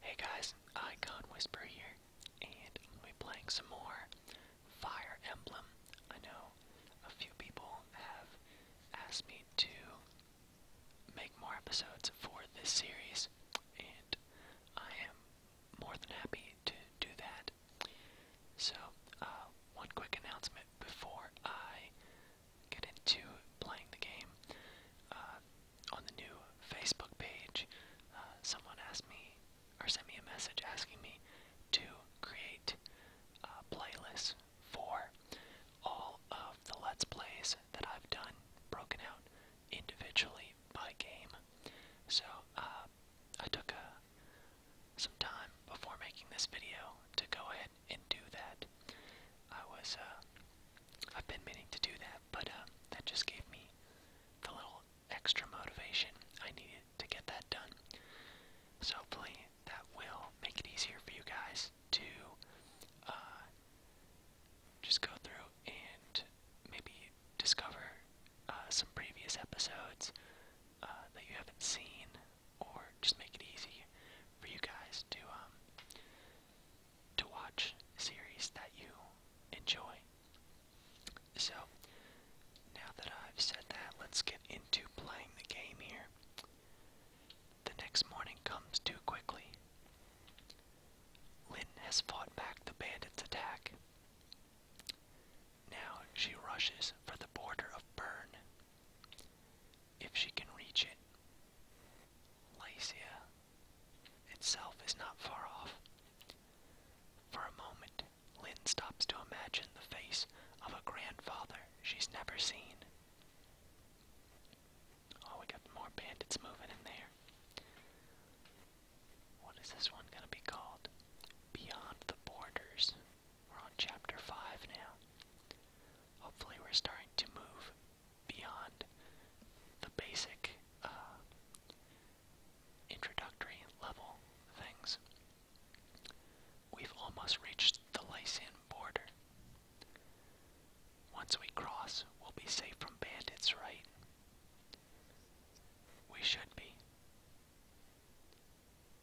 Hey guys, Icon Whisper here, and I'm be playing some more Fire Emblem. I know a few people have asked me to make more episodes for this series, and I am more than happy to do that. So, uh, one quick announcement before I get into playing the game. Uh, on the new Facebook page, uh, someone asked me or sent me a message asking me to create uh, playlists for all of the Let's Plays that I've done, broken out individually by game. So uh, I took uh, some time before making this video to go ahead and do that. I was, I've been meaning to do that that, but uh, that just gave me the little extra motivation I needed to get that done. So hopefully that will make it easier for you guys to uh, just go through and maybe discover uh, some previous episodes that you haven't seen, or just make it easy for you guys to um, to watch series that you enjoy. So, now that I've said that, let's get into playing the game here. The next morning comes too quickly. Lynn has fought back the bandits' attack. Now she rushes for the border of Bern. If she can reach it, Lycia itself is not far off. For a moment, Lynn stops to imagine the face of a grandfather she's never seen. Oh, we got more bandits moving in there. What is this one gonna be called? Beyond the Borders. We're on chapter 5 now. Hopefully, we're starting to move beyond the basic uh, introductory level things. We've almost reached the Lycian border. Once we cross, we'll be safe from bandits, right? We should be.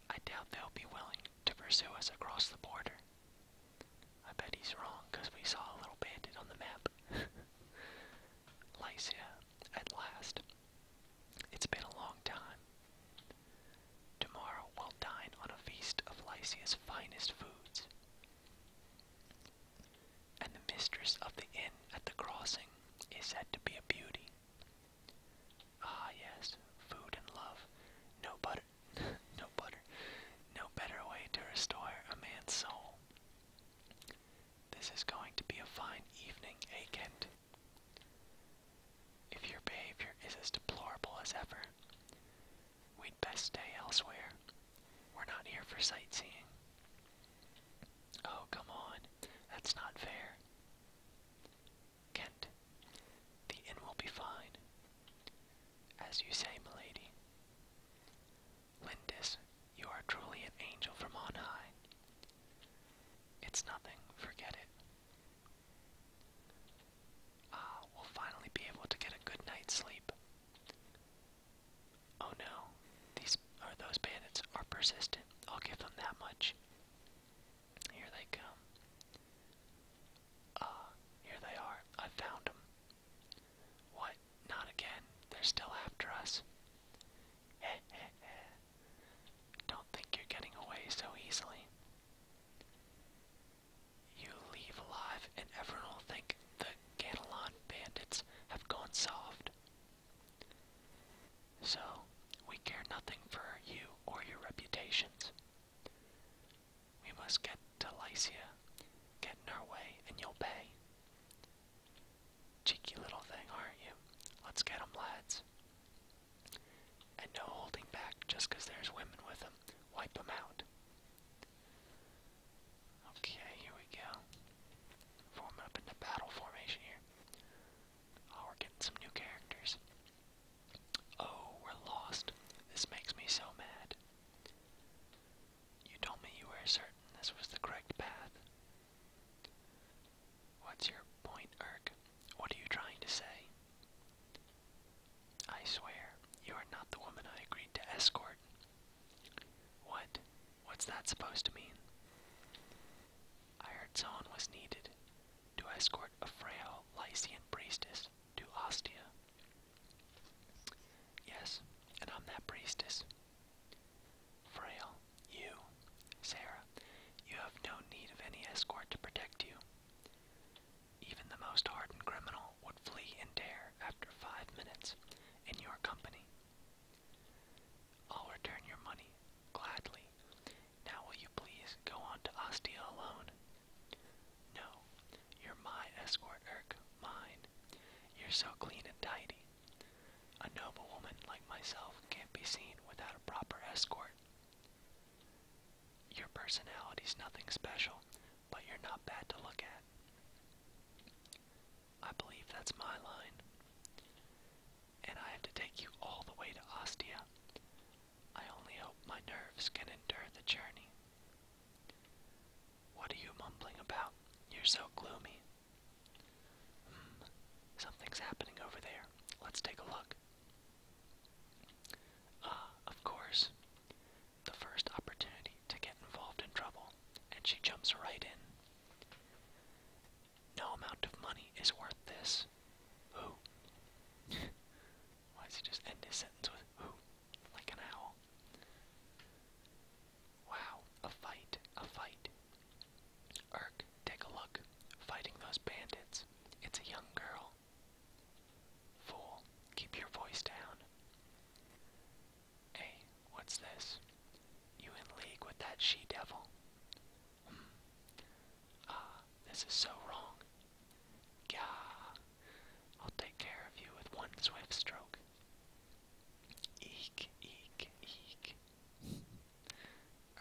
I doubt they'll be willing to pursue us across the border. I bet he's wrong, because we saw a little bandit on the map. Lycia, at last. It's been a long time. Tomorrow we'll dine on a feast of Lycia's finest foods. And the mistress of the inn at the crossing is said to be a beauty. Ah yes, food and love. No butter, no butter. No better way to restore a man's soul this is going to be a fine evening, Akent. Eh, if your behavior is as deplorable as ever, we'd best stay elsewhere. We're not here for sightseeing. Oh, come on. That's not fair. Kent, the inn will be fine. As you say, milady. Lindis, you are truly an angel from on high. It's nothing, forget it. Ah, we'll finally be able to get a good night's sleep. Oh no, these are those bandits are persistent. I'll give them that much. Here they come. Ah, here they are. I found them. What? Not again. They're still after us. Heh heh heh. Don't think you're getting away so easily. You leave alive and everyone will think the Catalan bandits have gone soft. So, we care nothing for you or your reputations. We must get to Lycia, get in our way, and you'll pay. Cheeky little thing, aren't you? Let's get 'em, lads. And no holding back just 'cause there's women with 'em. Wipe 'em out. Okay, here we go. Form up into battle formation here. Oh, we're getting some new characters. Oh, we're lost. This makes me so mad. You told me you were certain this was the correct path. What's your point, Erk? What are you trying to say? I swear, you are not the woman I agreed to escort. What? What's that supposed to mean? I heard someone was needed to escort a frail Lycian priestess to Ostia. Yes, and I'm that priestess. Frail, you, Sarah, you have no need of any escort to protect you. Even the most hardened criminal would flee in terror after five minutes in your company. I'll return your money, gladly. Now will you please go on to Ostia alone? No, you're my escort, Irk, mine. You're so clean and tidy. A noble woman like myself can't be seen without a proper escort. Your personality's nothing special, but you're not bad to look at. I believe that's my line. And I have to take you all the way to Ostia. I only hope my nerves can endure the journey. What are you mumbling about? You're so gloomy. Hmm, something's happening over there. Let's take a look. Ah, of course. The first opportunity to get involved in trouble, and she jumps right in. No amount of money is worth this. Who? Why does he just end his sentence with who? Like an owl. Wow, a fight, a fight. Irk, take a look. Fighting those bandits. It's a young girl. Fool, keep your voice down. Hey, what's this? You in league with that she devil? Hmm. Ah, this is so wrong. Gah. I'll take care of you with one swift stroke. Eek, eek, eek.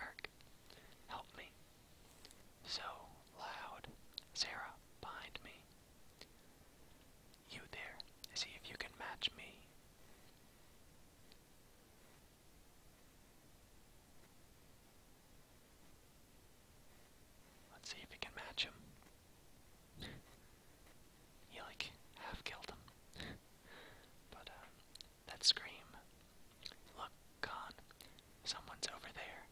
Erk, help me. So loud. Sarah, behind me. You there, see if you can match me. Let's see if you can match him he like half killed him. but um, that scream. Look, Khan, someone's over there.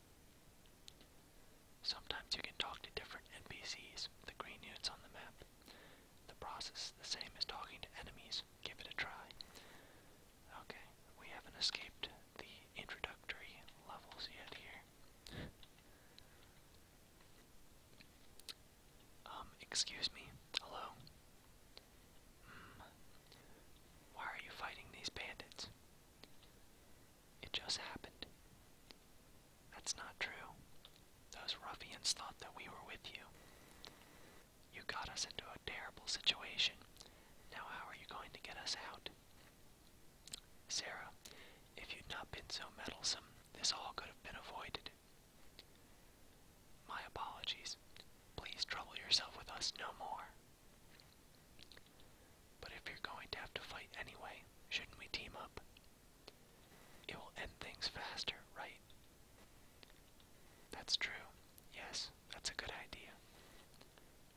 Sometimes you can talk to different NPCs, the green units on the map. The process is the same as talking to enemies. Give it a try. Okay, we haven't escaped the introductory levels yet here. Um, excuse me. Hello? Hmm. Why are you fighting these bandits? It just happened. That's not true. Those ruffians thought that we were with you. You got us into a terrible situation. Now, how are you going to get us out? Sarah, if you'd not been so meddlesome, this all could have been avoided. My apologies. Please trouble yourself with us no more. But if you're going to have to fight anyway, shouldn't we team up? It will end things faster, right? That's true. Yes, that's a good idea.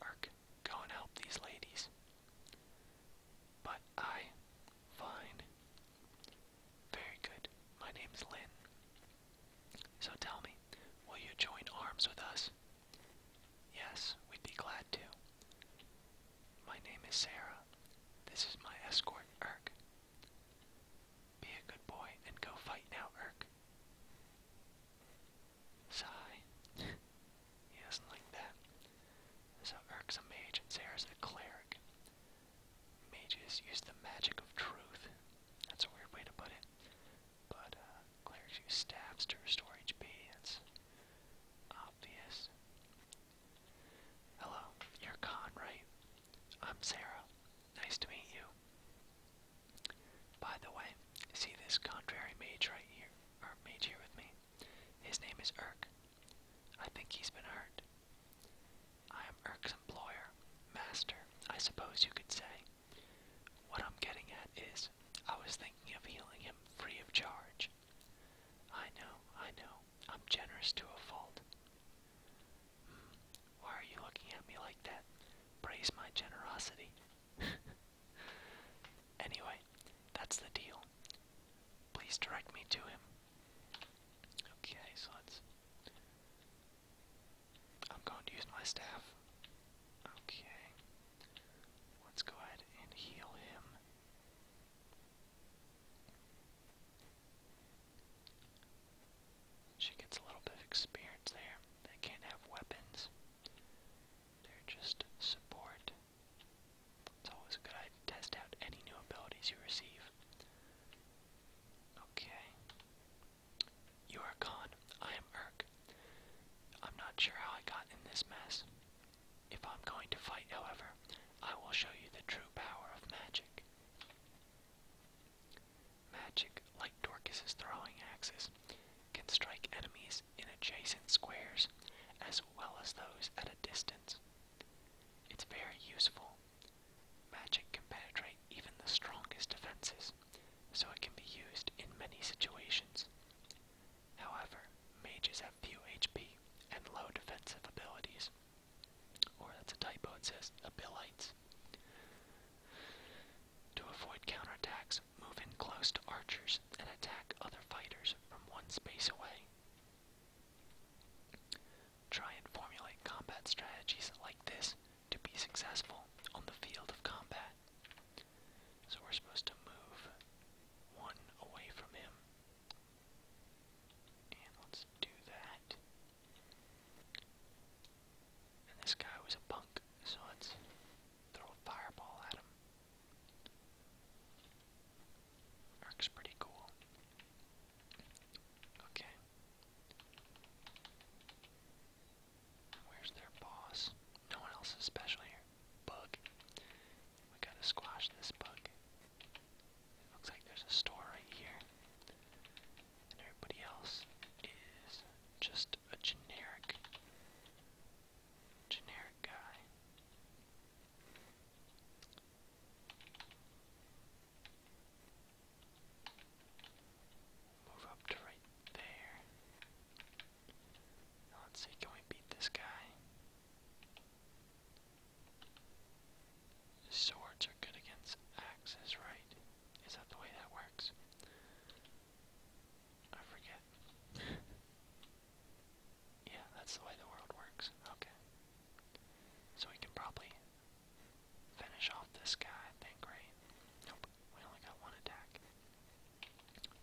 Erk, go and help these ladies but I find very good. My name's Lynn. So tell me, will you join arms with us? Yes, we'd be glad to. My name is Sarah. This is my escort, Irk. Be a good boy and go fight now, Irk. Sigh. he doesn't like that. So Erk's a mage and Sarah's a cleric. Mages use the magic of truth. That's a weird way to put it. But uh, clerics use staffs to restore HP. It's obvious. Hello, you're Khan, right? I'm Sarah. Nice to meet you. By the way, see this contrary mage right here, or mage here with me? His name is Urk. I think he's been hurt. I am Erk's employer, master, I suppose you could say. What I'm getting at is, I was thinking of healing him free of charge. I know, I know, I'm generous to a fault. Hmm, why are you looking at me like that? Praise my generosity. anyway, that's the deal. Please direct me to him. Okay, so let's. I'm going to use my staff. Okay. Let's go ahead and heal him. She gets a little bit of experience there. They can't have weapons, they're just support. It's always a good idea to test out any new abilities you receive. Okay. You are Khan. I am Urk. I'm not sure how I got in this mess. If I'm going to fight, however, I will show you the true power of magic. Magic, like Dorcas's throwing axes, can strike enemies in adjacent squares as well as those at a distance. It's very useful. Magic can penetrate even the strongest defenses, so it can be used in many situations. However, mages have few HP and low defensive abilities. Or that's a typo, it says abilities. To avoid counterattacks, move in close to archers and attack other fighters from one space away. Try and formulate combat strategies like this to be successful on the field of combat. So we're supposed to move one away from him. And let's do that. And this guy was a punk, so let's throw a fireball at him. Works pretty cool. Okay. Where's their boss? No one else is special here. Bug. We gotta squash this bug. looks like there's a store right here. And everybody else is just a generic generic guy. Move up to right there. let's see, can we beat this guy? Swords are good against axes, right? Is that the way that works? I forget. Yeah, that's the way the world works. Okay. So we can probably finish off this guy, I think, Nope, we only got one attack.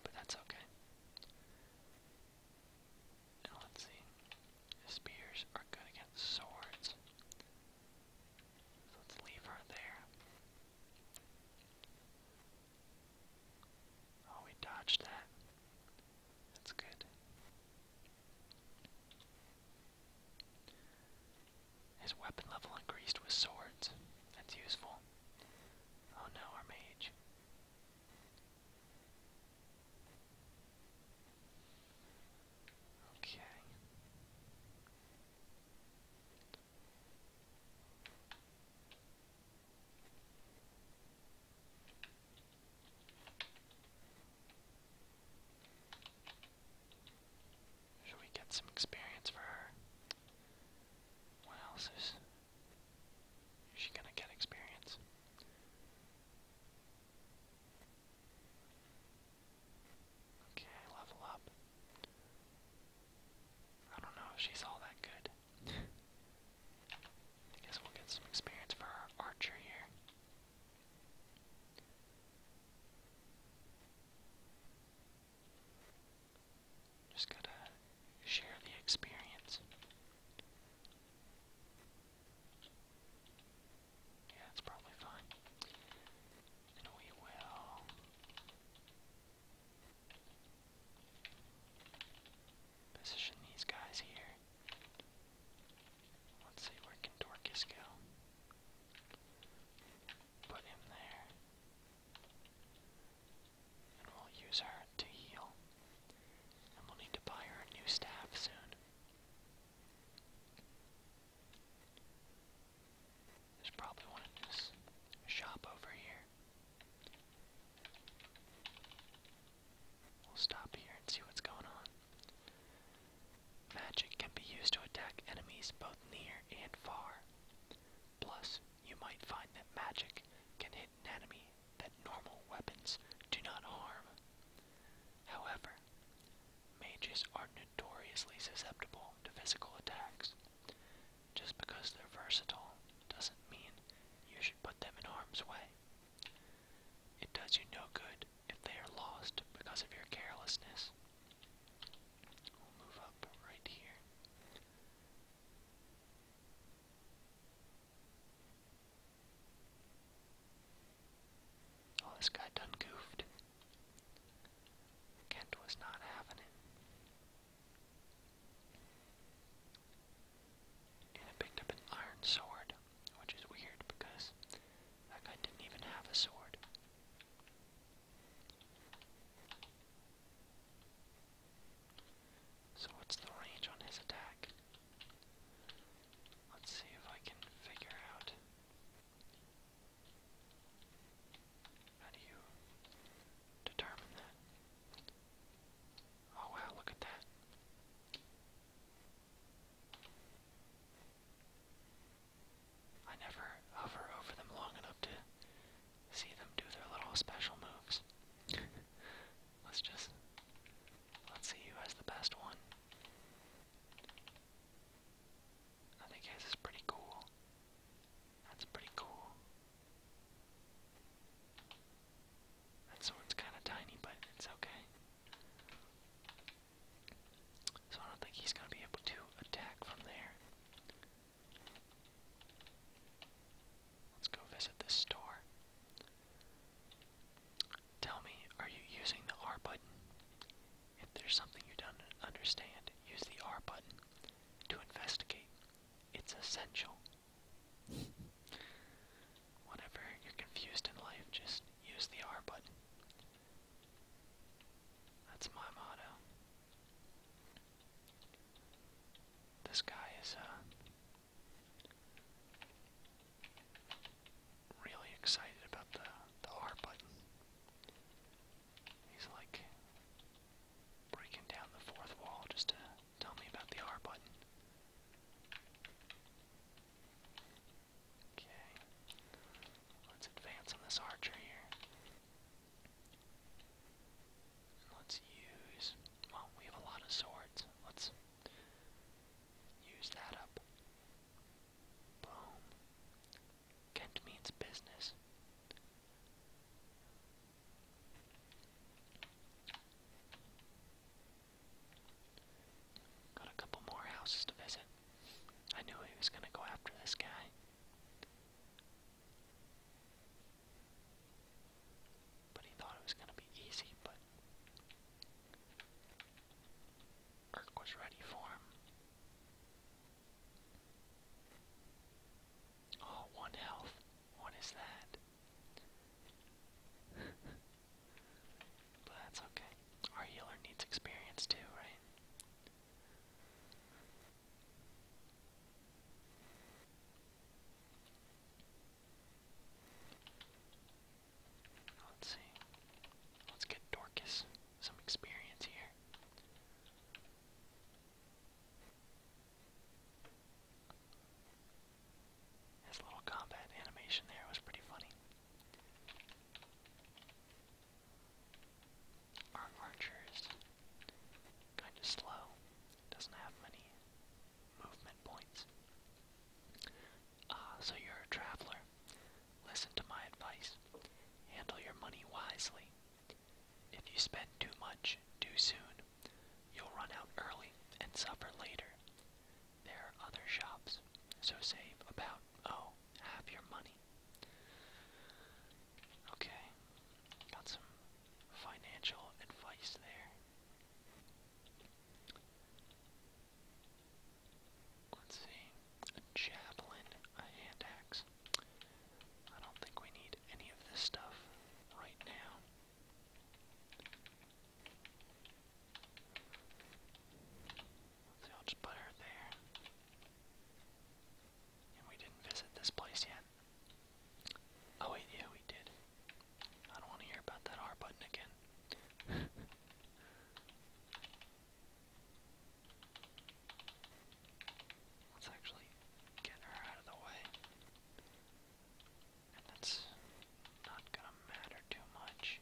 But that's okay. let's see. Spears are good against swords. let's leave her there. Oh, we dodged that. That's good. His weapon level increased with swords. That's useful. Oh no, our mage. Okay. Should we get some experience for her? What else is, she gonna get experience? Okay, level up. I don't know if she's all that good. I guess we'll get some experience for our archer here. Just gotta share the experience. Yeah, that's probably fine. And we will. Position these guys here. Let's see, where can Dorcas go? Put him there. And we'll use her to heal. And we'll need to buy her a new staff soon. There's probably one in shop over here. We'll stop here and see what's going on. Magic can be used to attack enemies both near and far. Plus, you might find that magic can hit an enemy that normal weapons do not harm. However, mages are notoriously susceptible to physical attacks. Just because they're versatile doesn't mean you should put them in harm's way. It does you no good if they are lost because of your carelessness. move up right here. Oh, this guy done goofed. Kent was not having it and I picked up an iron sword, which is weird because that guy didn't even have a sword. So what's the range on his attack? Let's see if I can figure out how do you determine that? Oh wow, look at that. I never hover over them long enough to see them do their little special moves. let's just, let's see who has the best one. I think is pretty cool. That's pretty cool. This one's kind of tiny, but it's okay. So I don't think he's going to be able to attack from there. Let's go visit this store. Tell me, are you using the R button? If there's something you don't understand, use the R button to investigate. It's essential. Whenever you're confused in life, just use the R button. That's my motto. This guy is uh, really excited about the, the R button. He's like breaking down the fourth wall just to Tell me about the R button. Okay. Let's advance on this archer here. let's use. Well, we have a lot of swords. Let's use that up. Boom. Kent means business. Got a couple more houses to visit. I knew he was going to go after this guy. But he thought it was going to be easy, but Irk was ready for him. Oh, one health. What is that? but that's okay. Our healer needs experience too, right? Let's see. Let's get Dorcas some experience here. His little combat animation there was pretty funny. Our archer is kind of slow, doesn't have many movement points. Ah, so you're a traveler. Listen to my advice. Handle your money wisely. If you spend too much too soon, You'll run out early and suffer later. There are other shops, so save about, oh, half your money. Okay, got some financial advice there. Let's see, a javelin, a hand I don't think we need any of this stuff right now. So i just put her there. And we didn't visit this place yet. Oh wait, yeah, we did. I don't want to hear about that R button again. Let's actually get her out of the way that's not gonna matter too much.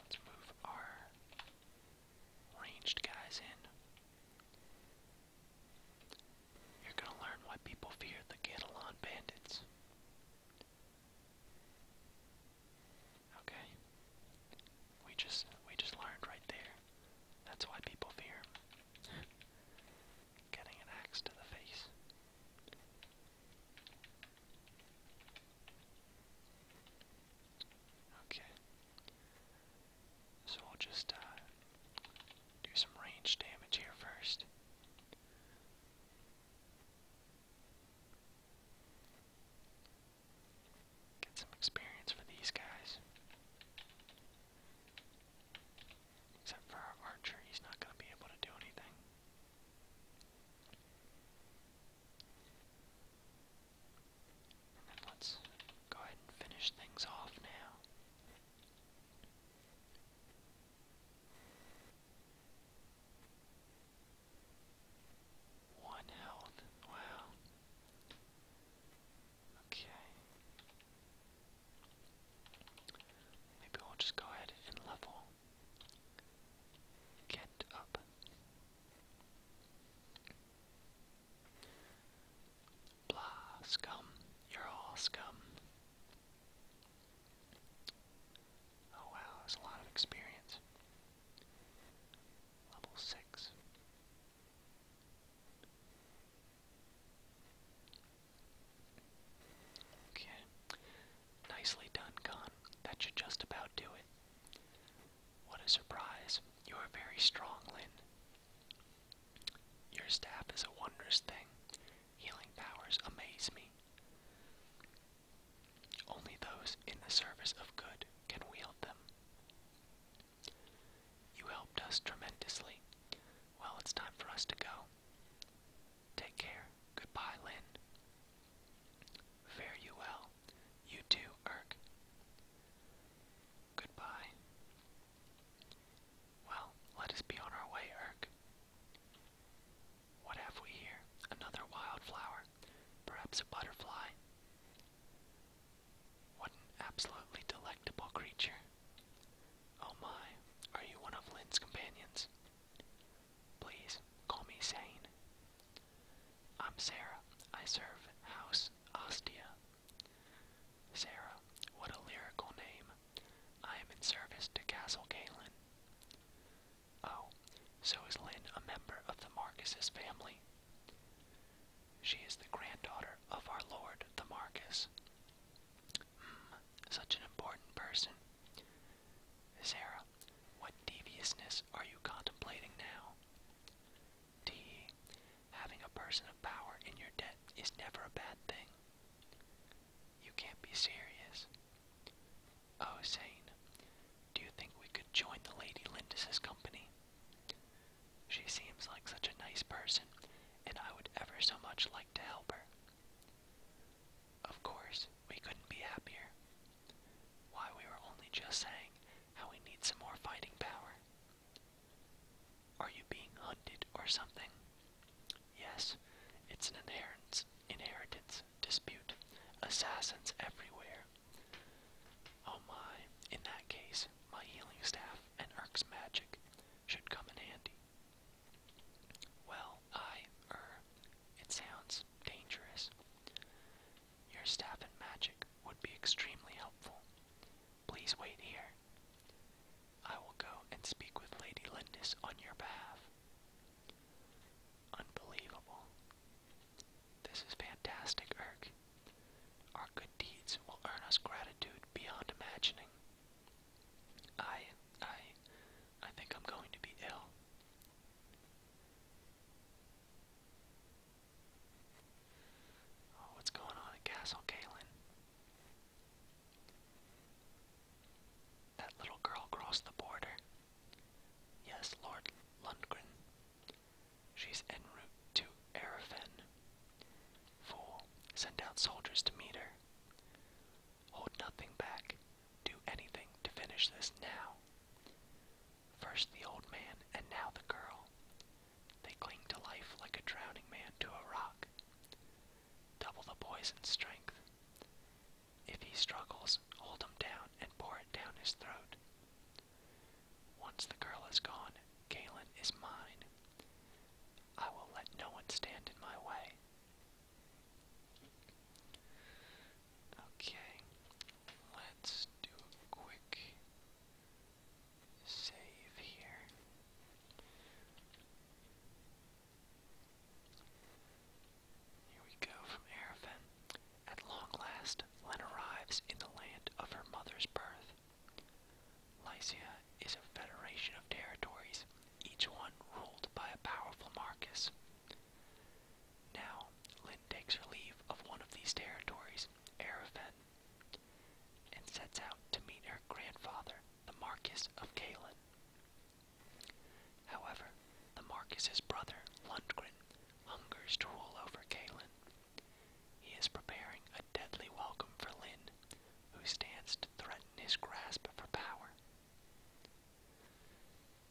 Let's move our ranged guys in. You're gonna learn why people fear the Catalan bandits. Okay. We just we just learned right there. That's why people fear. Getting an axe to the face. Okay. So we'll just uh, do some range damage here first. Get some experience for these guys. Except for our archer, he's not going to be able to do anything. And then let's go ahead and finish things off now. One health. Wow. Okay. Maybe we'll just go ahead and level. Get up. Blah, scum. You're all scum. Oh wow, that's a lot of experience. Level 6. Okay. Nicely done, Khan. That should just about do it. What a surprise. You are very strong, Lin. Your staff is a wondrous thing. Healing powers amaze me. Only those in the service of good can wield them. You helped us tremendously. Well, it's time for us to go. Take care. Goodbye, Lynn. Fare you well. You too, Irk. Goodbye. Well, let us be on our way, Irk. What have we here? Another wildflower. Perhaps a butterfly. What an absolutely delectable creature. Oh my, are you one of Lynn's companions? Please, call me Sane. I'm Sarah. I serve House Ostia. Sarah, what a lyrical name. I am in service to Castle Galen. Oh, so is Lynn a member of the Marcus's family? She is the granddaughter of our lord, the Marcus. Such an important person. Sarah, what deviousness are you contemplating now? T. Having a person of power in your debt is never a bad thing. You can't be serious. Oh, Zane, do you think we could join the Lady Lindis's company? She seems like such a nice person, and I would ever so much like to help her. Of course, we couldn't be happier. Why, we were only just saying how we need some more fighting power. Are you being hunted or something? Yes, it's an inheritance, inheritance dispute. Assassins everywhere. Oh my, in that case, my healing staff and Urk's magic should come in handy. Well, I, er, it sounds dangerous. Your staff and magic would be extremely helpful. Please wait here. I will go and speak with Lady Lindis on your behalf. Unbelievable. This is fantastic, Irk. Our good deeds will earn us gratitude beyond imagining. I, I, I think I'm going to be ill. Oh, what's going on at Castle Kalen? That little girl crossed the border. Yes, Lord Lundgren. She's en route to Arafen. Fool, send out soldiers to meet her. Hold nothing back. Do anything to finish this now. First the old man and now the girl. They cling to life like a drowning man to a rock. Double the boy's strength. If he struggles, hold him down and pour it down his throat. Once the girl is gone, Galen is mine. I will let no one stand in my way. Okay, let's do a quick save here. Here we go from Arafin. At long last, Len arrives in the land of her mother's birth. Lycia is a federation of territories, each one ruled by a powerful Marcus. Now, Lynn takes her leave of one of these territories, Ereven, and sets out to meet her grandfather, the Marcus of Caelan. However, the Marcus's brother, Lundgren, hungers to rule over Caelan. He is preparing a deadly welcome for Lynn, who stands to threaten his grasp for power.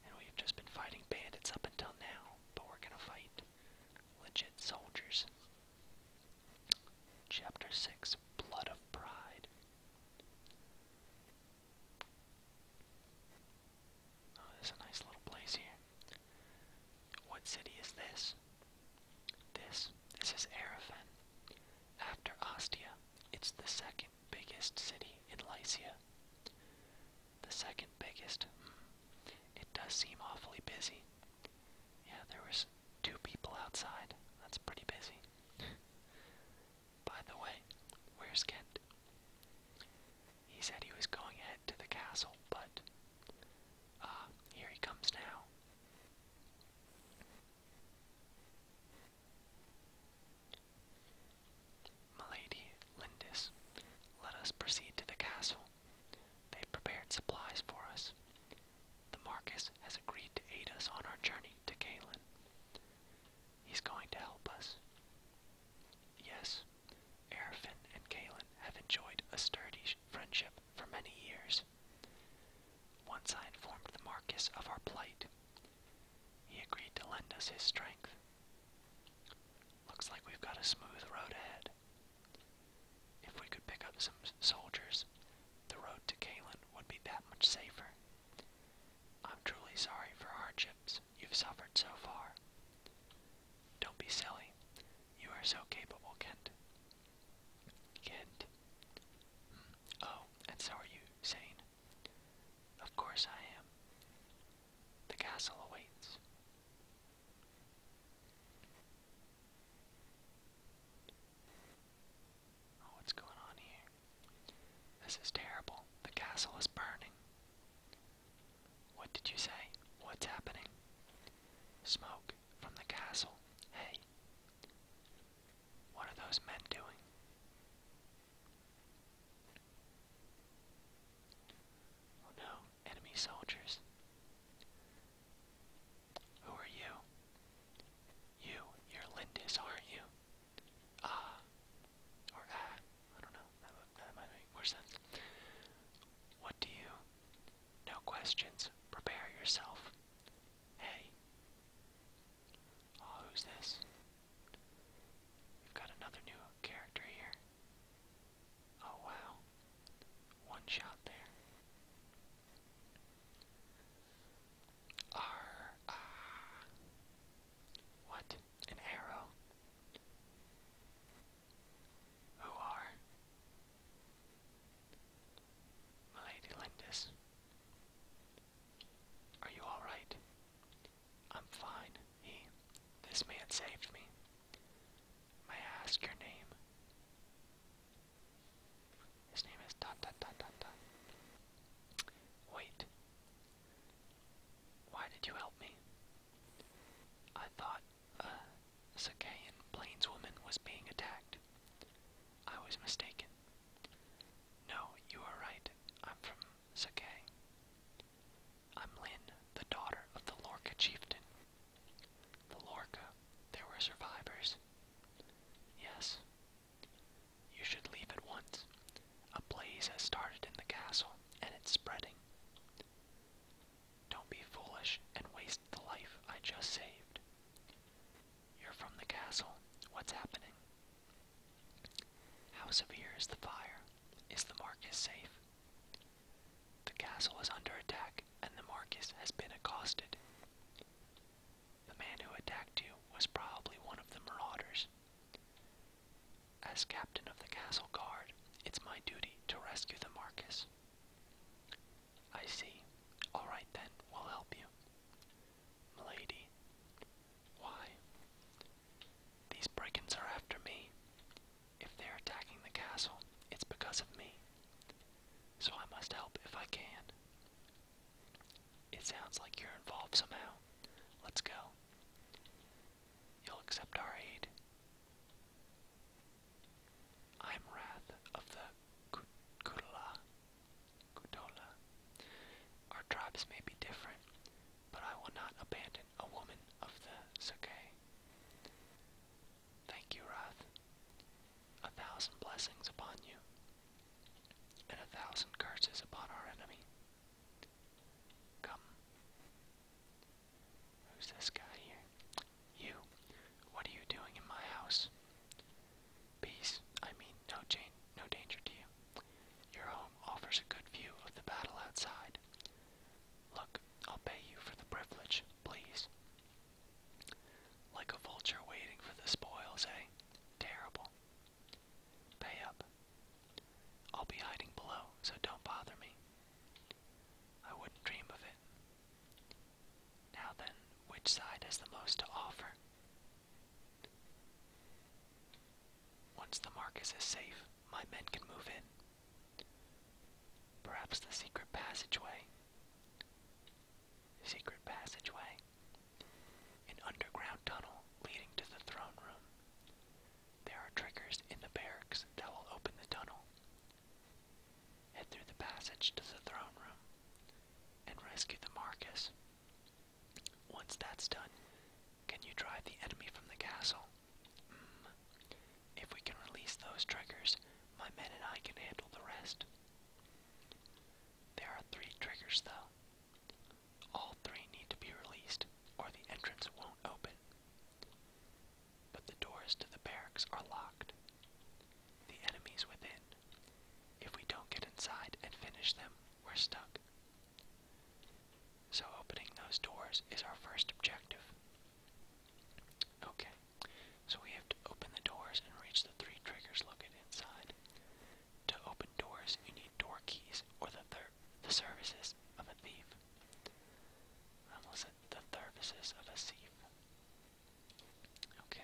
And we've just been fighting bandits up until now, but we're gonna fight legit soldiers. Chapter 6 Blood of Pride. Oh, there's a nice little place here. What city is this? This. This is Arafan. After Ostia, it's the second biggest city in Lycia. The second biggest. Hmm, it does seem awfully busy. Yeah, there was two people outside. That's pretty busy. By the way, where's Kent? He said he was going ahead to the castle, but ah, here he comes now. Milady, Lindis, let us proceed to the castle. They've prepared supplies for us. The Marcus has agreed to aid us on our journey to Galen. He's going to help us. Yes, Arafin and Galen have enjoyed a sturdy friendship for many years. Once I informed the Marquis of our plight, he agreed to lend us his strength. Looks like we've got a smooth road ahead. If we could pick up some soldiers, the road to Kalin would be that much safer. I'm truly sorry for hardships you've suffered so far. Don't be silly. You are so capable, Kent. Get. Mm. Oh, and so are you, Zane. Of course I am. The castle awaits. Oh, what's going on here? This is terrible. The castle is burning. What did you say? What's happening? Smoke from the castle. Hey. What are those men doing? Oh, no, enemy soldiers. Who are you? You, you're Lindis, aren't you? Ah, or ah, don't know, that might make more sense. What do you? No questions, prepare yourself. Hey. Oh, who's this? We've got another new character here. Oh, wow. One shot there. Arr, ah. What? An arrow? Who are? Milady Lindis. Are you alright? I'm fine, he. This man saved me. May I ask your name? His name is dot dot dot dot dot. Wait. Why did you help me? I thought a uh, Sakaean plainswoman was being attacked. I was mistaken. No, you are right. I'm from Sakay. I'm Lynn, the daughter of the Lorca chieftain. The Lorca, there were survivors. Yes. You should leave at once. A blaze has started in the castle, and it's spreading. Don't be foolish and waste the life I just saved. You're from the castle. What's happening? How severe is the fire? Is the marquis safe? The castle is under attack, and the marquis has been accosted. The man who attacked you was probably one of the marauders. As captain of the castle guard, it's my duty to rescue the marquis. I see. All right then, we'll help you. Milady, why? These brigands are after me. If they're attacking the castle, it's because of me. So I must help if I can. It sounds like you're involved somehow. Let's go. You'll accept our aid. I'm Wrath of the Kutula, Gudola. Our tribes may be different, but I will not abandon a woman of the Sake. Thank you, Wrath. A thousand blessings upon you, and a thousand curses upon our enemy. Come. Who's this guy here? You. What are you doing in my house? Peace, I mean no, no danger to you. Your home offers a good view of the battle outside. Look, I'll pay you for the privilege, please. Like a vulture waiting for the spoils, eh? Terrible. Pay up. I'll be hiding below, so don't bother me. I wouldn't dream of it. Now then, which side has the most to offer? Once the Marcus is safe, my men can move in. Perhaps the secret passageway. Secret passageway. An underground tunnel leading to the throne room. There are triggers in the barracks that will open the tunnel. Head through the passage to the throne room and rescue the Marcus. Once that's done, can you drive the enemy from the castle? Mm. If we can release those triggers, my men and I can handle the rest. There are three triggers, though. All three need to be released, or the entrance won't open. But the doors to the barracks are locked. The enemies within if we don't get inside and finish them, we're stuck. So opening those doors is our first objective. Okay, so we have to open the doors and reach the three triggers located inside. To open doors, you need door keys or the the services of a thief. Almost the services of a thief. Okay.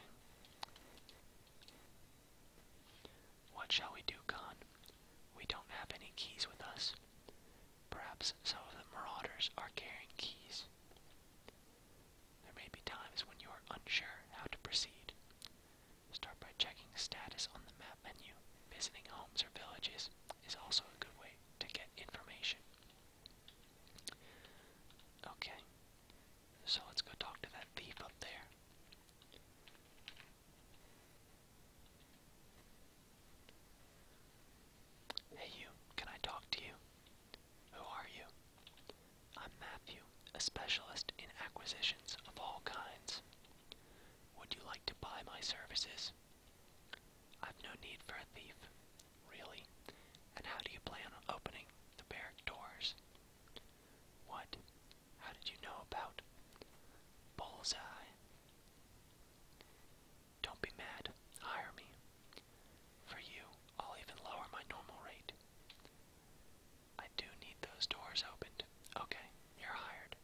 What shall we do, Khan? We don't have any keys with us. Perhaps some of the marauders are carrying keys. There may be times when you are unsure how to proceed. Start by checking status on the map menu. Visiting homes or villages is also a good way to get information. Okay, so let's go talk to that thief up there. Hey you, can I talk to you? Who are you? I'm Matthew, a specialist in acquisitions of all kinds. Would you like to buy my services? I've no need for a thief, really. And how do you plan on opening the barrack doors? What? How did you know about Bullseye? Don't be mad. Hire me. For you, I'll even lower my normal rate. I do need those doors opened. Okay, you're hired.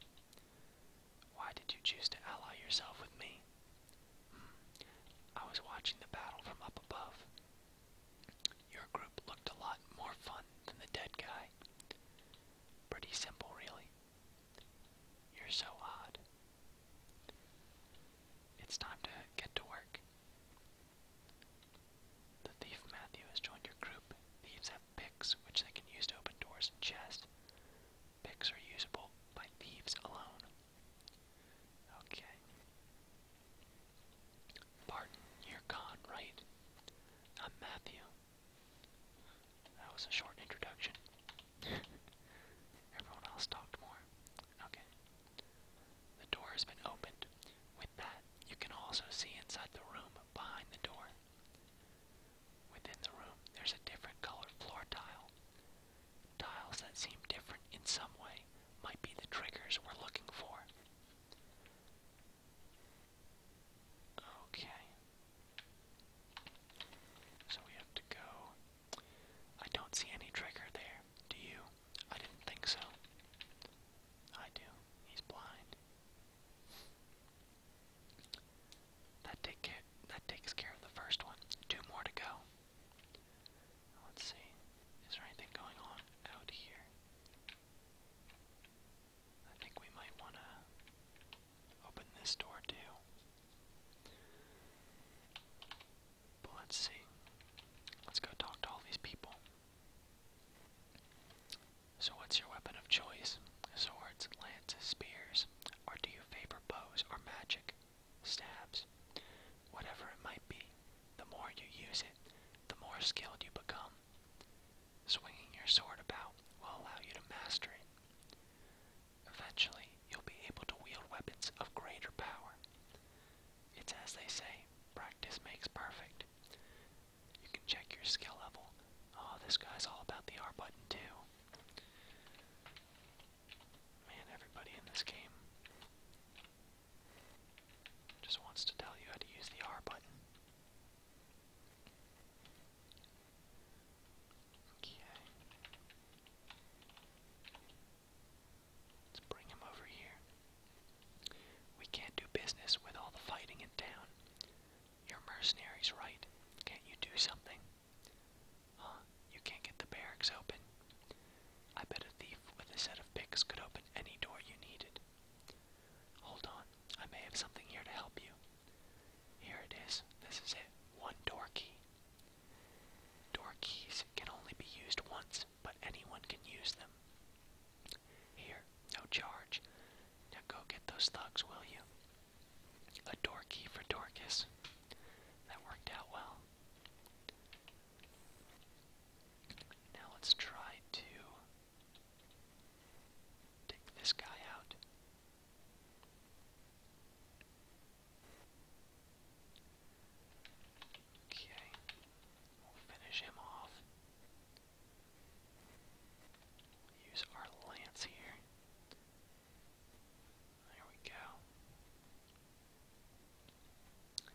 Why did you choose to ally yourself with me? Hmm, I was watching the battle from up above your group looked a lot more fun than the dead guy. Pretty simple, really. You're so odd. It's time to get to work. The thief Matthew has joined your group. Thieves have picks, which they can use to open doors and chests. Picks are usable by thieves alone. Okay. Martin, you're gone, right? I'm Matthew. That was a short introduction. Everyone else talked more. Okay. The door has been opened. With that, you can also see inside the room behind the door. Within the room, there's a different colored floor tile. Tiles that seem different in some way might be the triggers we're looking for. Okay. So we have to go. I don't see any trigger there. Do you? I didn't think so. I do. He's blind. That take care that takes care of the first one. Two more to go. Let's see. Is there anything going on out here? I think we might want to open this door too. But let's see. Let's go talk to all these people. So, what's your weapon of choice? Swords, lances, spears, or do you favor bows or magic? Stabs whatever it might be, the more you use it, the more skilled you become. Swinging your sword about will allow you to master it. Eventually, you'll be able to wield weapons of greater power. It's as they say, practice makes perfect. You can check your skill level. Oh, this guy's all about the R button too. Man, everybody in this game just wants to tell you how to use the R button. Okay. Let's bring him over here. We can't do business with all the fighting in town. Your mercenaries, right? Can't you do something? Huh? You can't get the barracks open. I bet a thief with a set of picks could open any door you needed. Hold on, I may have something here to help you. Here it is. This is it. One door key. Door keys can only be used once, but anyone can use them. Here, no charge. Now go get those thugs, will you? A door key for Dorcas. That worked out well. Now let's try to take this guy out. Okay, we'll finish him off. Use our lance here. There we go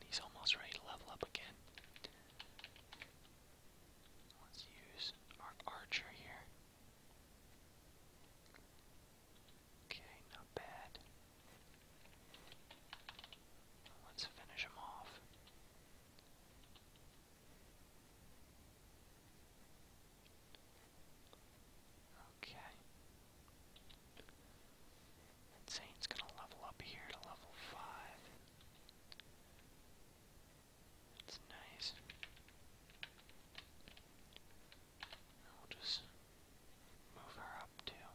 he's almost ready to level up again. Let's use our archer here. Okay, not bad. Let's finish him off. Okay. And Zane's gonna level up here to level 5. That's nice. And will just move her up too.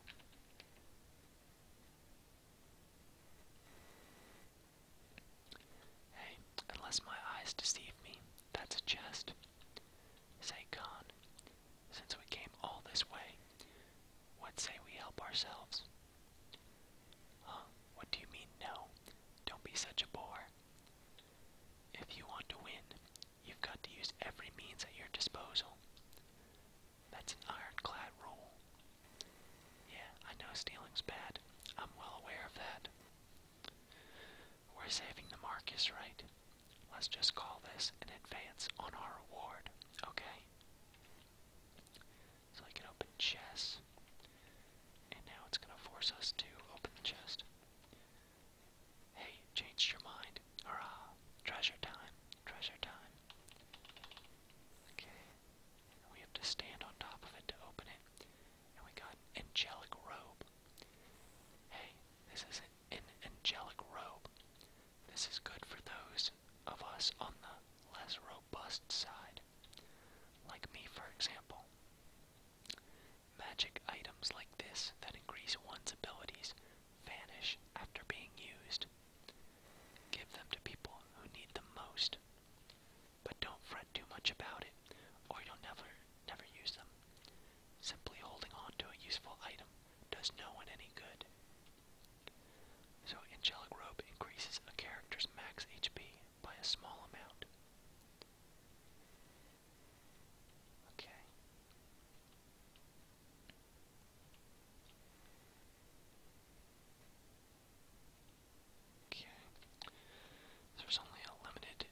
Hey, unless my eyes deceive me, that's a chest. Say, Khan, since we came all this way, what say we help ourselves? What do you mean, no? Don't be such a bore. If you want to win, you've got to use every means at your disposal. That's an ironclad rule. Yeah, I know stealing's bad. I'm well aware of that. We're saving the Marcus, right? Let's just call this an advance on our reward, okay? So I can open chest. And now it's gonna force us to open the chest. Hey, changed your mind. Hurrah! Treasure time. Treasure time. Okay. we have to stand on top of it to open it. And we got angelic robe. Hey, this is an angelic robe. This is good for those of us on the less robust side, like me for example. Magic items like this that increase one's abilities vanish after being used. Give them to people who need them most, but don't fret too much about it, or you'll never, never use them. Simply holding on to a useful item does no one any good. So Angelic Robe increases a character's max HP by a small amount. Okay. Okay. There's only a limited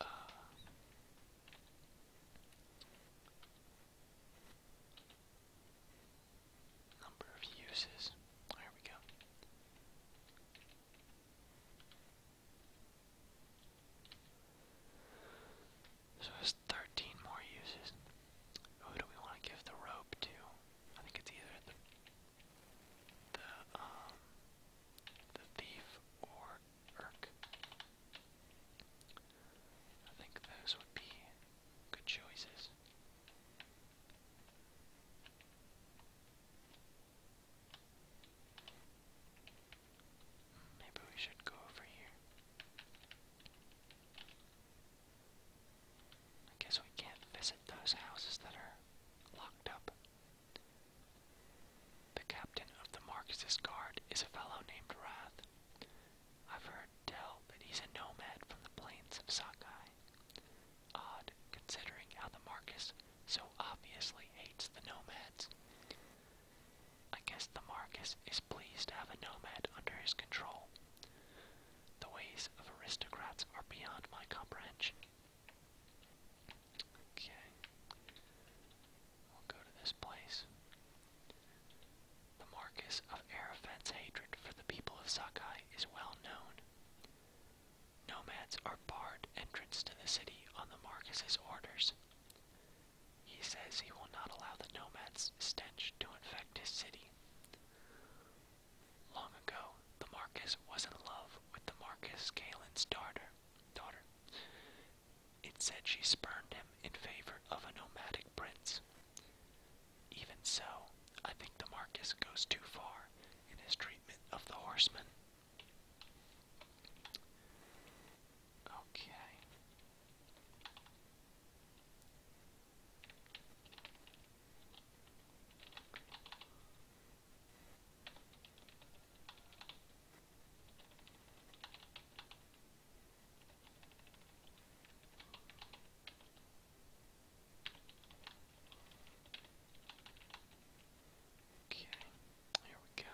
uh, number of uses. There we go. So there's 13 more uses. Who do we want to give the rope to? I think it's either the the um, thief or Urk. I think those would be good choices. Maybe we should go over here. I guess we can't visit those houses that are locked up. The captain of the Marxist Guard is a fellow named Rath, I've heard tell that he's a nomad from the plains of Sakai. Odd, considering how the Marcus so obviously hates the nomads. I guess the Marcus is pleased to have a nomad under his control. The ways of aristocrats are beyond my comprehension. Okay. We'll go to this place. The Marcus of Arafat's hatred for the people of Sakai is well known. Nomads are barred entrance to the city on the Marcus's orders. He says he will not allow the nomads' stench to infect his city. Long ago, the Marcus was in love with the Marcus Galen's daughter. It said she spurned him in favor of a nomadic prince. Even so, I think Demarcus goes too far in his treatment of the horseman. Okay. Okay, here we go.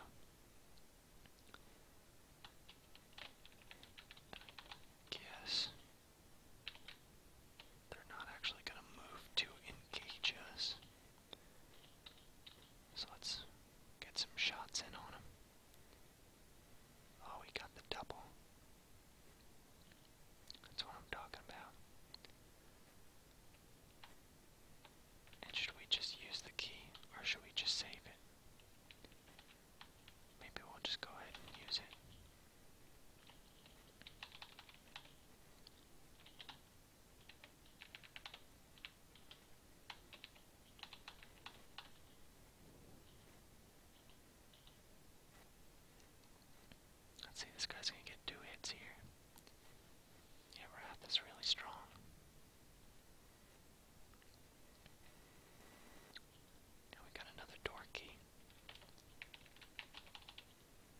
Guess they're not actually going to move to engage us. So let's get some shots in on them. Oh, he got the double. That's what I'm talking about. And should we just use the key or should we just save it? Maybe we'll just go ahead and use it. Let's see, this guy's gonna get two hits here. Wrath is really strong. And we got another door key.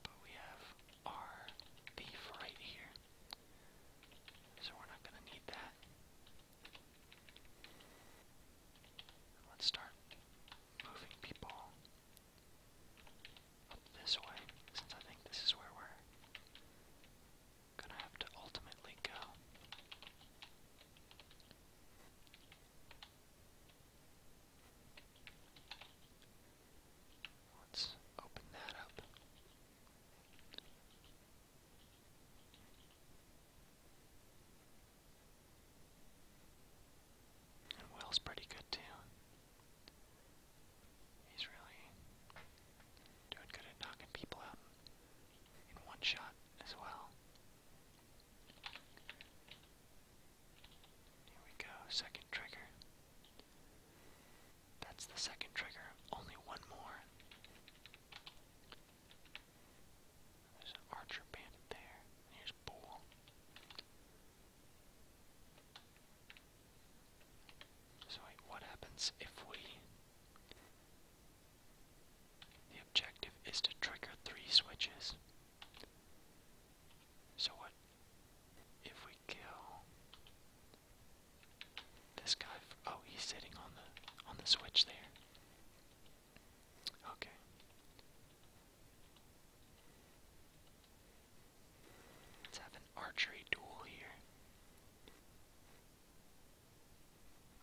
But we have our thief right here. So we're not gonna need that. Let's start moving people up this way, since I think this is where we're gonna have to ultimately go. Let's open that up. And Will's pretty good too. He's really doing good at knocking people out in one shot as well. Here we go, second trigger. That's the second trigger, only one more. There's an archer bandit there. Here's Bull. So wait, what happens if we... The objective is to trigger three switches. So what if we kill this guy? oh, he's sitting on the on the switch there. Okay. Let's have an archery duel here.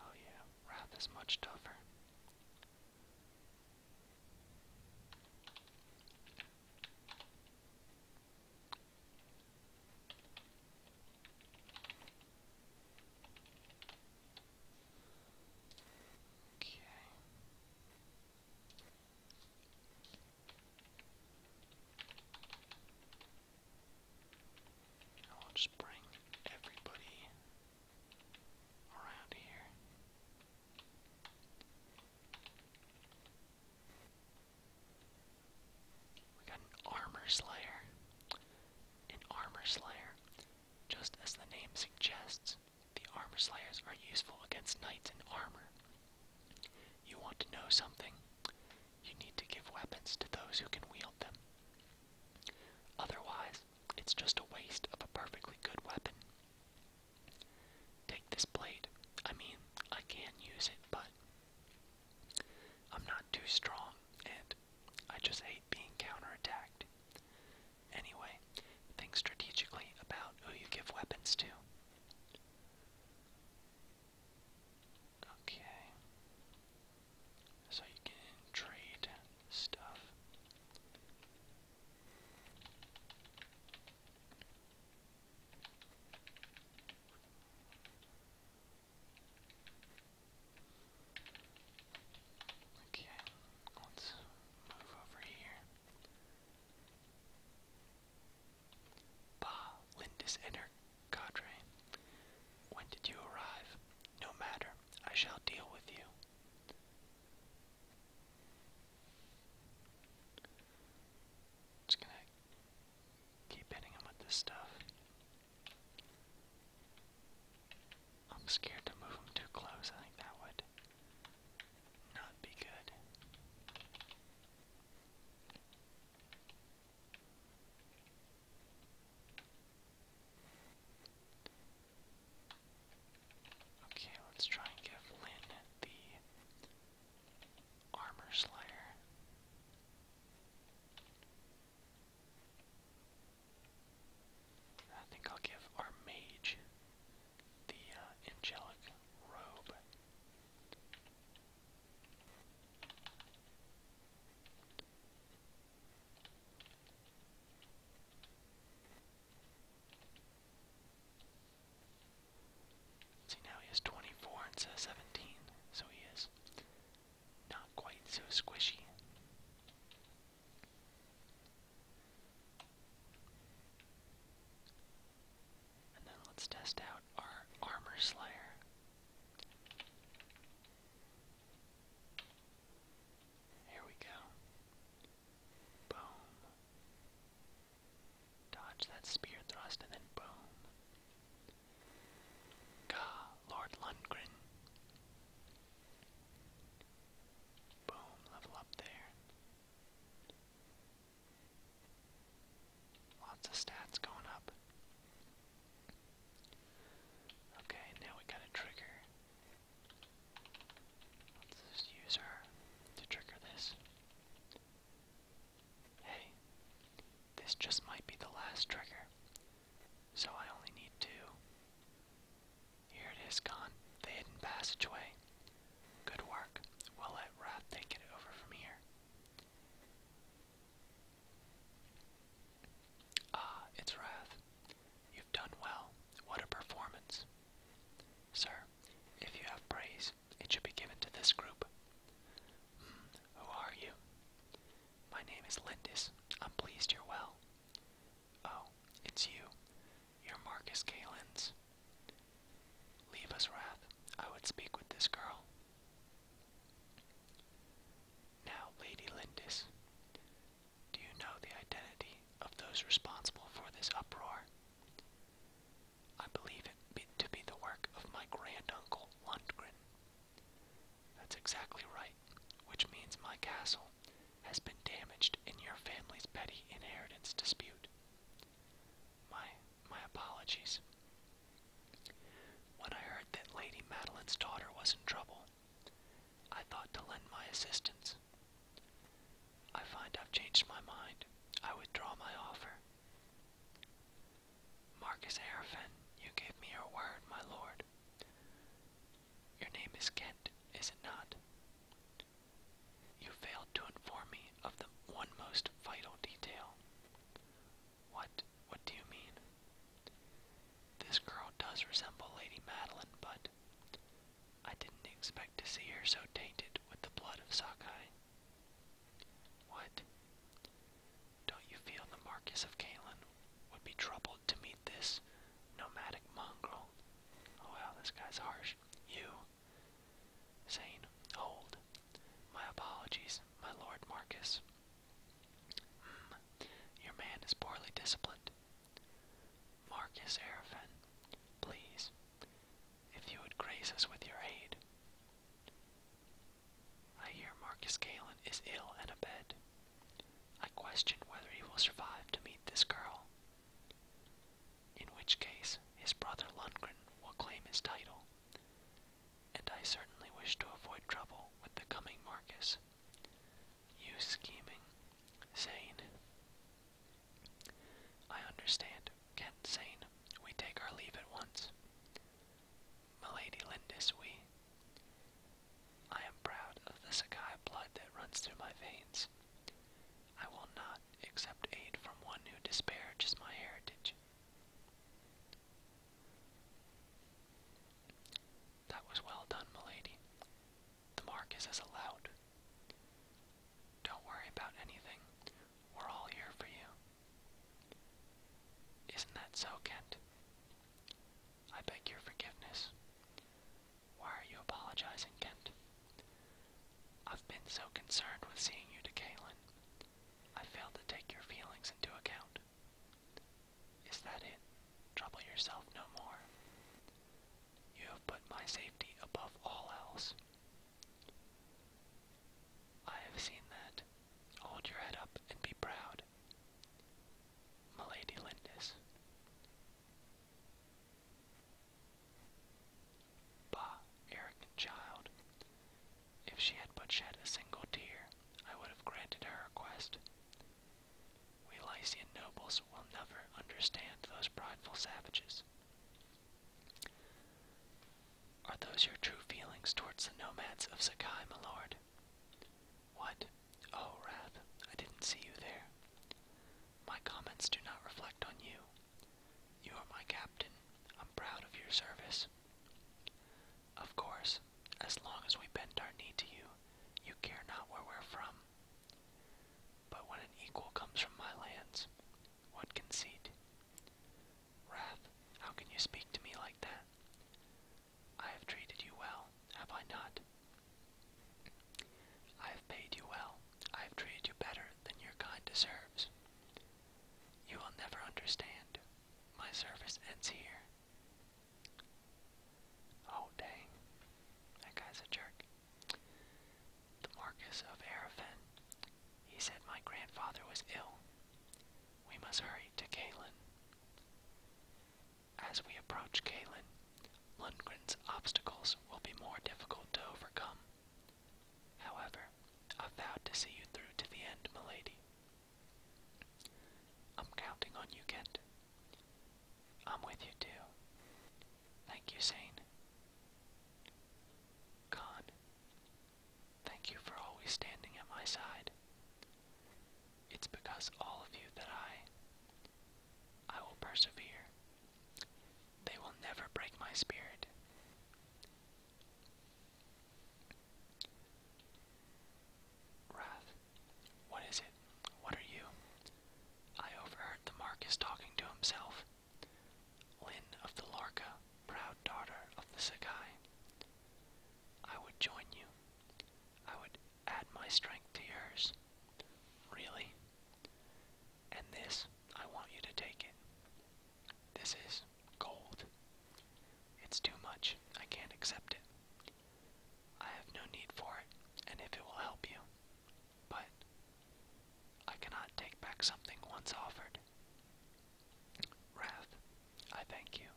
Oh yeah, Wrath is much tougher. Okay. I'll just bring everybody around here. We got an armor slayer. An armor slayer. Just as the name suggests, the armor slayers are useful against knights in armor. You want to know something? You need to give weapons to those who can wield them. Otherwise, it's just a waste of a perfectly good weapon. Take this blade. I mean, I can use it, but I'm not too strong, and I just hate being counterattacked. Anyway, think strategically about who you give weapons to. Okay. So you can trade stuff. Okay, let's move over here. Bah, Lindis and cadre. When did you arrive? No matter, I shall deal with you. Just gonna keep hitting him with this stuff. I'm scared to move them too close. I think that would not be good. Okay, let's try and give Lynn the armor slayer. I think I'll give our mage the uh, angelic robe. See now he is 24 and says 17, so he is not quite so squishy. And then let's test out our armor slayer. Here we go. Boom. Dodge that spear thrust and then boom. Gah, Lord Lundgren. Boom, level up there. Lots of stats going up. Okay, now we got a trigger. Let's just use her to trigger this. Hey, this just might be the last trigger. So I only need two. Here it is, gone. The hidden passageway. Good work. We'll let Wrath take it over from here. Ah, it's Wrath. You've done well. What a performance. Sir, if you have praise, it should be given to this group. Hmm, who are you? My name is Lindis. I'm pleased you're well. Oh, it's you. You're Marcus Kalins. Leave us, Wrath. I would speak with this girl. Now, Lady Lindis, do you know the identity of those responsible for this uproar? I believe it to be the work of my granduncle Lundgren, that's exactly right, which means my castle has been damaged in your family's petty inheritance dispute. My my apologies. When I heard that Lady Madeline's daughter was in trouble, I thought to lend my assistance. I find I've changed my mind. I withdraw my offer. Marcus Arafen, you gave me your word, my lord. Your name is Kent, is it not? You failed to inform me of the one most vital detail. What? What do you mean? This girl does resemble Lady Madeline, but I didn't expect to see her so tainted with the blood of Sakai. What? Don't you feel the Marquis of Kalin would be troubled to meet this nomadic mongrel. Oh wow, this guy's harsh. You, Zane, hold. My apologies, my lord Marcus. Hmm, your man is poorly disciplined. Marcus Arafin, please, if you would grace us with your aid. I hear Marcus Galen is ill and abed. I question whether he will survive to meet this girl. In which case, his brother Lundgren will claim his title, and I certainly wish to avoid trouble with the coming Marcus. You scheming, Zane. I understand, Kent Zane. We take our leave at once. Milady Lindis, we I am proud of the Sakai blood that runs through my veins. I will not accept aid from one who disparages my heritage. That was well done, milady. The mark is as allowed. Don't worry about anything. We're all here for you. Isn't that so, Kent? I beg your forgiveness. Why are you apologizing, Kent? I've been so concerned with seeing you to Kaylin. I failed to take your feelings into account. Is that it? Trouble yourself no more. You have put my safety above all else. I have seen that. Hold your head up and be proud. Milady Lindis. Bah, arrogant child. If she had but shed a single tear, I would have granted her request. We Lycian nobles will never understand those prideful savages. Are those your true feelings towards the nomads of Sakai, my lord? What? Oh, Wrath, I didn't see you there. My comments do not reflect on you. You are my captain. I'm proud of your service. Of course, as long as we bend our knee to you, you care not where we're from. But when an equal comes from my lands, what conceit? Wrath, how can you speak to me like that? I have treated you well, have I not? I have paid you well. I have treated you better than your kind deserves. You will never understand. My service ends here. Oh, dang. That guy's a jerk. The Marcus of Arafin. He said my grandfather was ill. We must hurry to Galen. As we approach Kalen, Lundgren's obstacles will be more difficult to overcome. However, I vow to see you through to the end, milady. I'm counting on you, Kent. I'm with you, too. Thank you, Zane. Khan, thank you for always standing at my side. It's because all of you that I I will persevere. They will never break my spirit. Wrath, what is it? What are you? I overheard the Marquis talking to himself. Lynn of the Lorca, proud daughter of the Sakai. I would join you. I would add my strength to yours. Really? And this, I want you to take it. This is gold. It's too much. I can't accept it. I have no need for it, and if it will help you. But I cannot take back something once offered. Wrath, I thank you.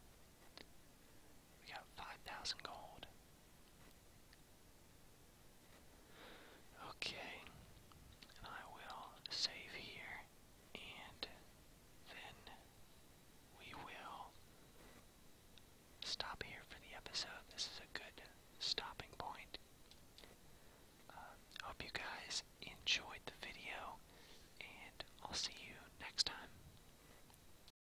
We got 5,000 gold. Okay, I will save here, and then we will stop here for the episode. This is a good stopping point. Uh, hope you guys enjoyed the video, and I'll see you next time.